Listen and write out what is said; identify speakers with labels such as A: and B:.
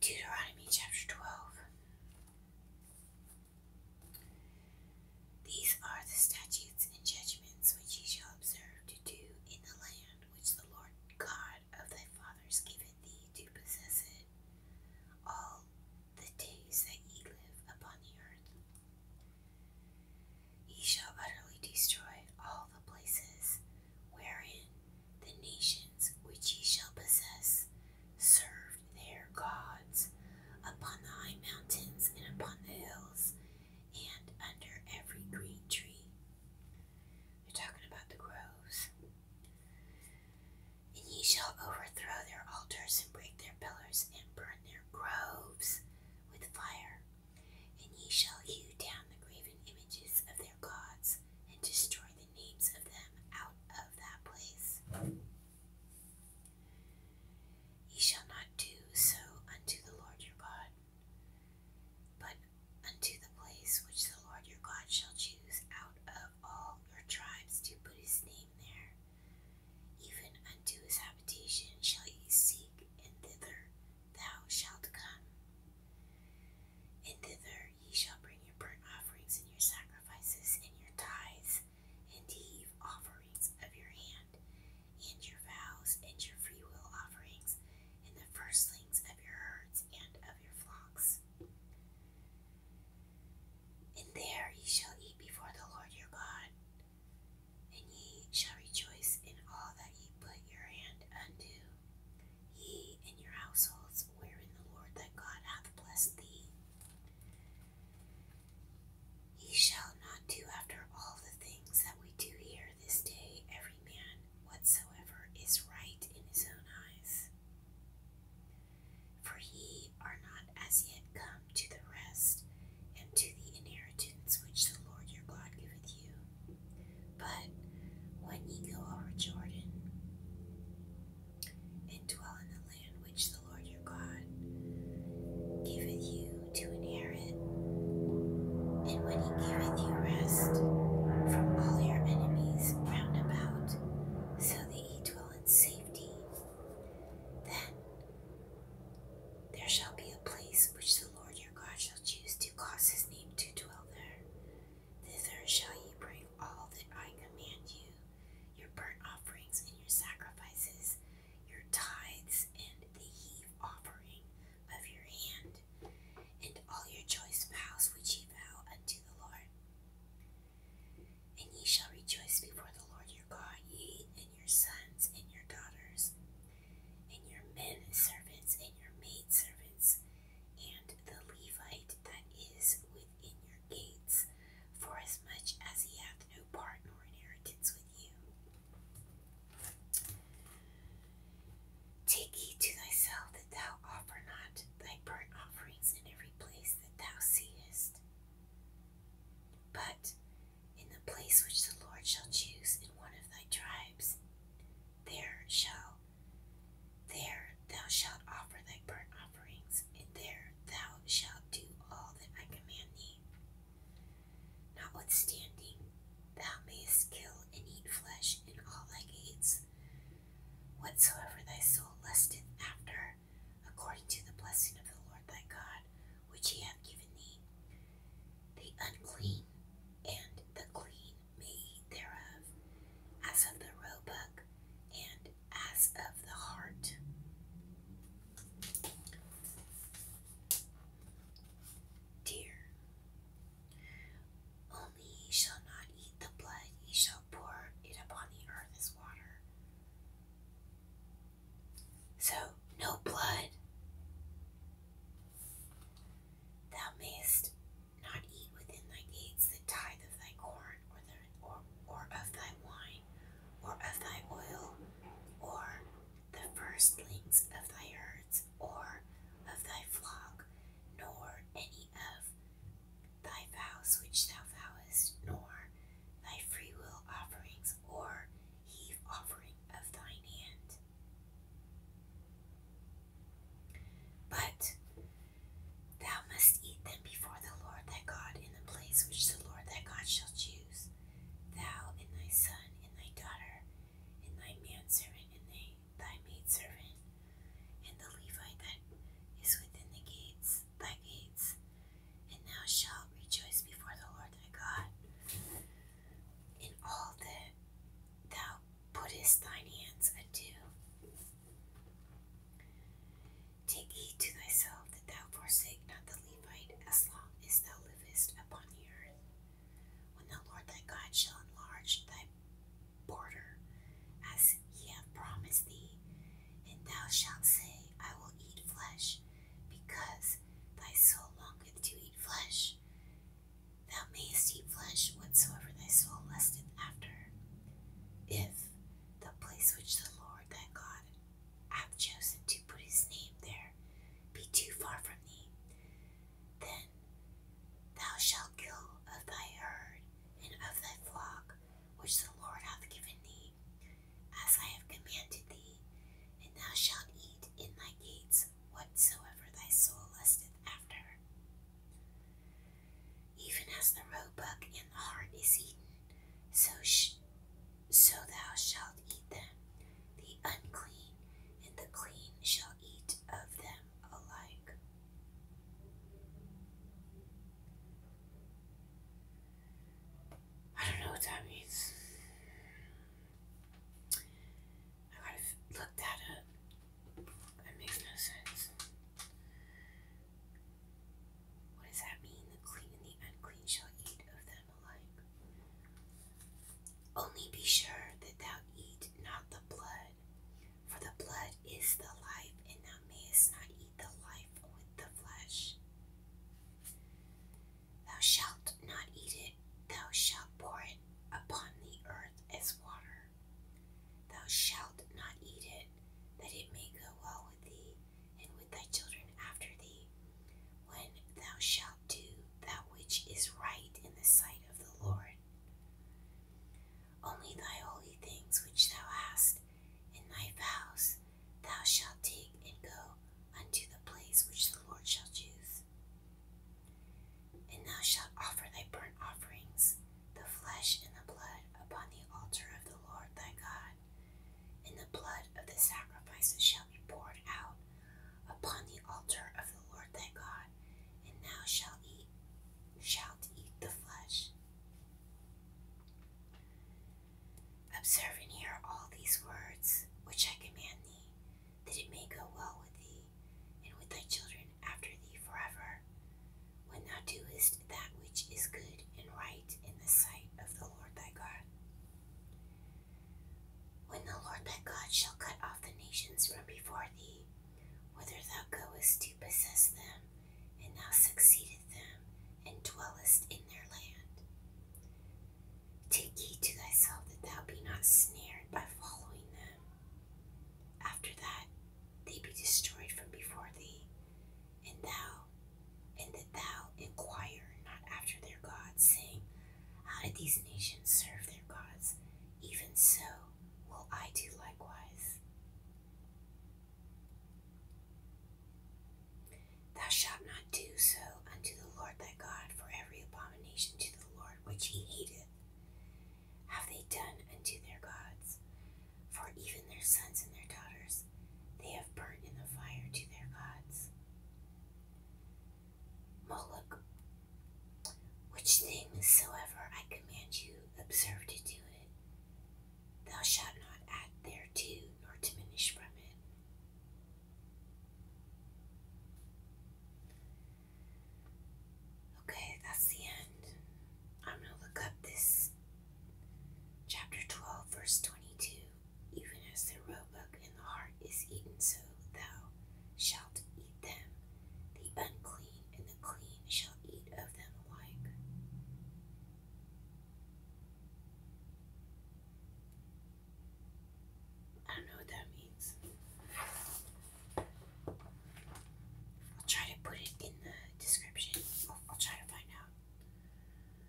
A: Deuteronomy chapter 12.
B: These are the
A: statutes and judgments which ye shall observe to do in the land which the Lord God of thy fathers giveth thee to possess it all the days that ye live upon the earth. Ye shall utterly destroy all the places wherein the nations which ye shall possess served their gods upon the high mountains and upon the hills and under every green tree. They're talking about the groves. And ye shall overthrow their altars and break their pillars and burn their groves with fire. And ye shall hew down the graven images of their gods, and destroy the names of them out of that place. Ye shall not do so unto the Lord your God, but unto the place which the Lord your God shall choose out of all your tribes to put his name there. Even unto his habitation shall ye seek, and thither thou shalt come, and thither ye shall bring your burnt offerings and your sacrifices and your tithes and heave offerings of your hand and your vows and your freewill offerings and the firstlings of your herds and of your flocks. And there ye shall eat before the Lord your God and ye shall rejoice in all that ye put your hand unto. Ye and your households, wherein the Lord that God hath blessed thee. Ye shall not do after all the things that we do here this day, every man whatsoever is right in his own eyes. For ye are not as yet come to the rest and to the inheritance which the Lord your God giveth you. But when ye go over Jordan, and dwell in the land which the Lord your God giveth you to inherit, and when he giveth you rest from all your enemies round about, so that ye dwell in safety, then there shall be a place which the Lord your God shall choose to cause his name to dwell there. Thither shall ye bring all that I command you your burnt offerings and your sacrifices, your tithes and the heave offering of your hand, and all your choice vows which ye vow unto the Lord. And ye shall rejoice before the Lord your God, ye and your sons and your daughters, and your men servants and your maid servants, and the Levite that is within your gates, forasmuch as he hath no part nor inheritance with you. Take heed to thyself that thou offer not thy burnt offerings in every place that thou seest. But in the place which the Lord shall choose in one of thy tribes, there shall there thou shalt offer thy burnt offerings, and there thou shalt do all that I command thee. Notwithstanding, thou mayest kill and eat flesh in all thy gates, whatsoever thy soul lusteth after, according to the blessing of the Lord thy God, which he hath given thee. The unclean and the clean may eat thereof, as of the roebuck and as of the heart. Dear, only ye shall not eat the blood, ye shall pour it upon the earth as water. So, no blood. Thou mayest not eat within thy gates the tithe of thy corn, or of thy wine, or of thy oil, or the firstlings of thy herds, or of thy flock, nor any of thy vows which thou vowest, nor thy free will offerings or heave offering of thine hand. But thou must eat them before the Lord thy God in the place which the Lord thy God shall choose, thou and thy son and thy daughter, and thy manservant and thy, thy maidservant, and the Levite that is within the gates, thy gates, and thou shalt rejoice before the Lord thy God in all that thou puttest thine hands unto. Take heed to thyself that thou forsake not the Levite as long as thou livest upon the earth. When the Lord thy God shall enlarge thy border, as He hath promised thee, and thou shalt say, I will eat flesh, because thy soul longeth to eat flesh. Thou mayest eat flesh whatsoever thy soul lusteth after, if the place which the Lord thy God hath chosen to put his name there be too far from thee, then thou shalt kill of thy herd and of thy flock which the Lord hath given thee, as I have commanded thee, and thou shalt eat in thy gates whatsoever thy soul lusteth after. Even as the roebuck and the hart is eaten, so, so thou shalt eat them. The unclean and the clean shall eat of them alike. I don't know what that means. I gotta look that up. That makes no sense. What does that mean? The clean and the unclean shall eat of them alike. Only be sure that thou eat not the blood, for the blood is the life, and thou mayest not eat the life with the flesh. Thou shalt not eat it, thou shalt pour it upon the earth as water. Thou shalt not eat it, that it may go well with thee, and with thy children after thee, when thou shalt do that which is right in the sight of the Lord. Only thy holy things which thou hast in thy vows thou shalt take and go unto the place which the Lord shall choose. And thou shalt offer thy burnt offerings, the flesh and the blood, upon the altar of the Lord thy God, and the blood of the sacrifices shall be poured out upon the altar of the Lord thy God, and thou shalt eat shalt eat the flesh. Observe and hear all these words which I command thee, that it may go well with thee, and with thy children after thee forever, when thou doest that which is good and right in the sight of the Lord thy God. When the Lord thy God shall cut off the nations from before thee, whither thou goest to possess them, and thou succeedest them, and dwellest in their land. Take heed to thyself that thou be not snared by following them. After that they be destroyed from before thee, and thou and that thou inquire not after their gods, saying, how did these nations serve their gods? Even so, will I do likewise. Thou shalt not do so unto the Lord thy God, for every abomination to the Lord which he hateth have they done unto their gods. For even their sons and their daughters they have burnt in the fire to their gods. Moloch. Which things soever I command you, observe to do it. Thou shalt not add thereto, nor diminish from it. Okay, that's the end. I'm going to look up this chapter 12, verse 22 even as the roebuck and the hart is eaten, so thou shalt eat them. The unclean and the clean shall eat of them alike. I don't know what that means. I'll try to put it in the description. I'll, try to find out.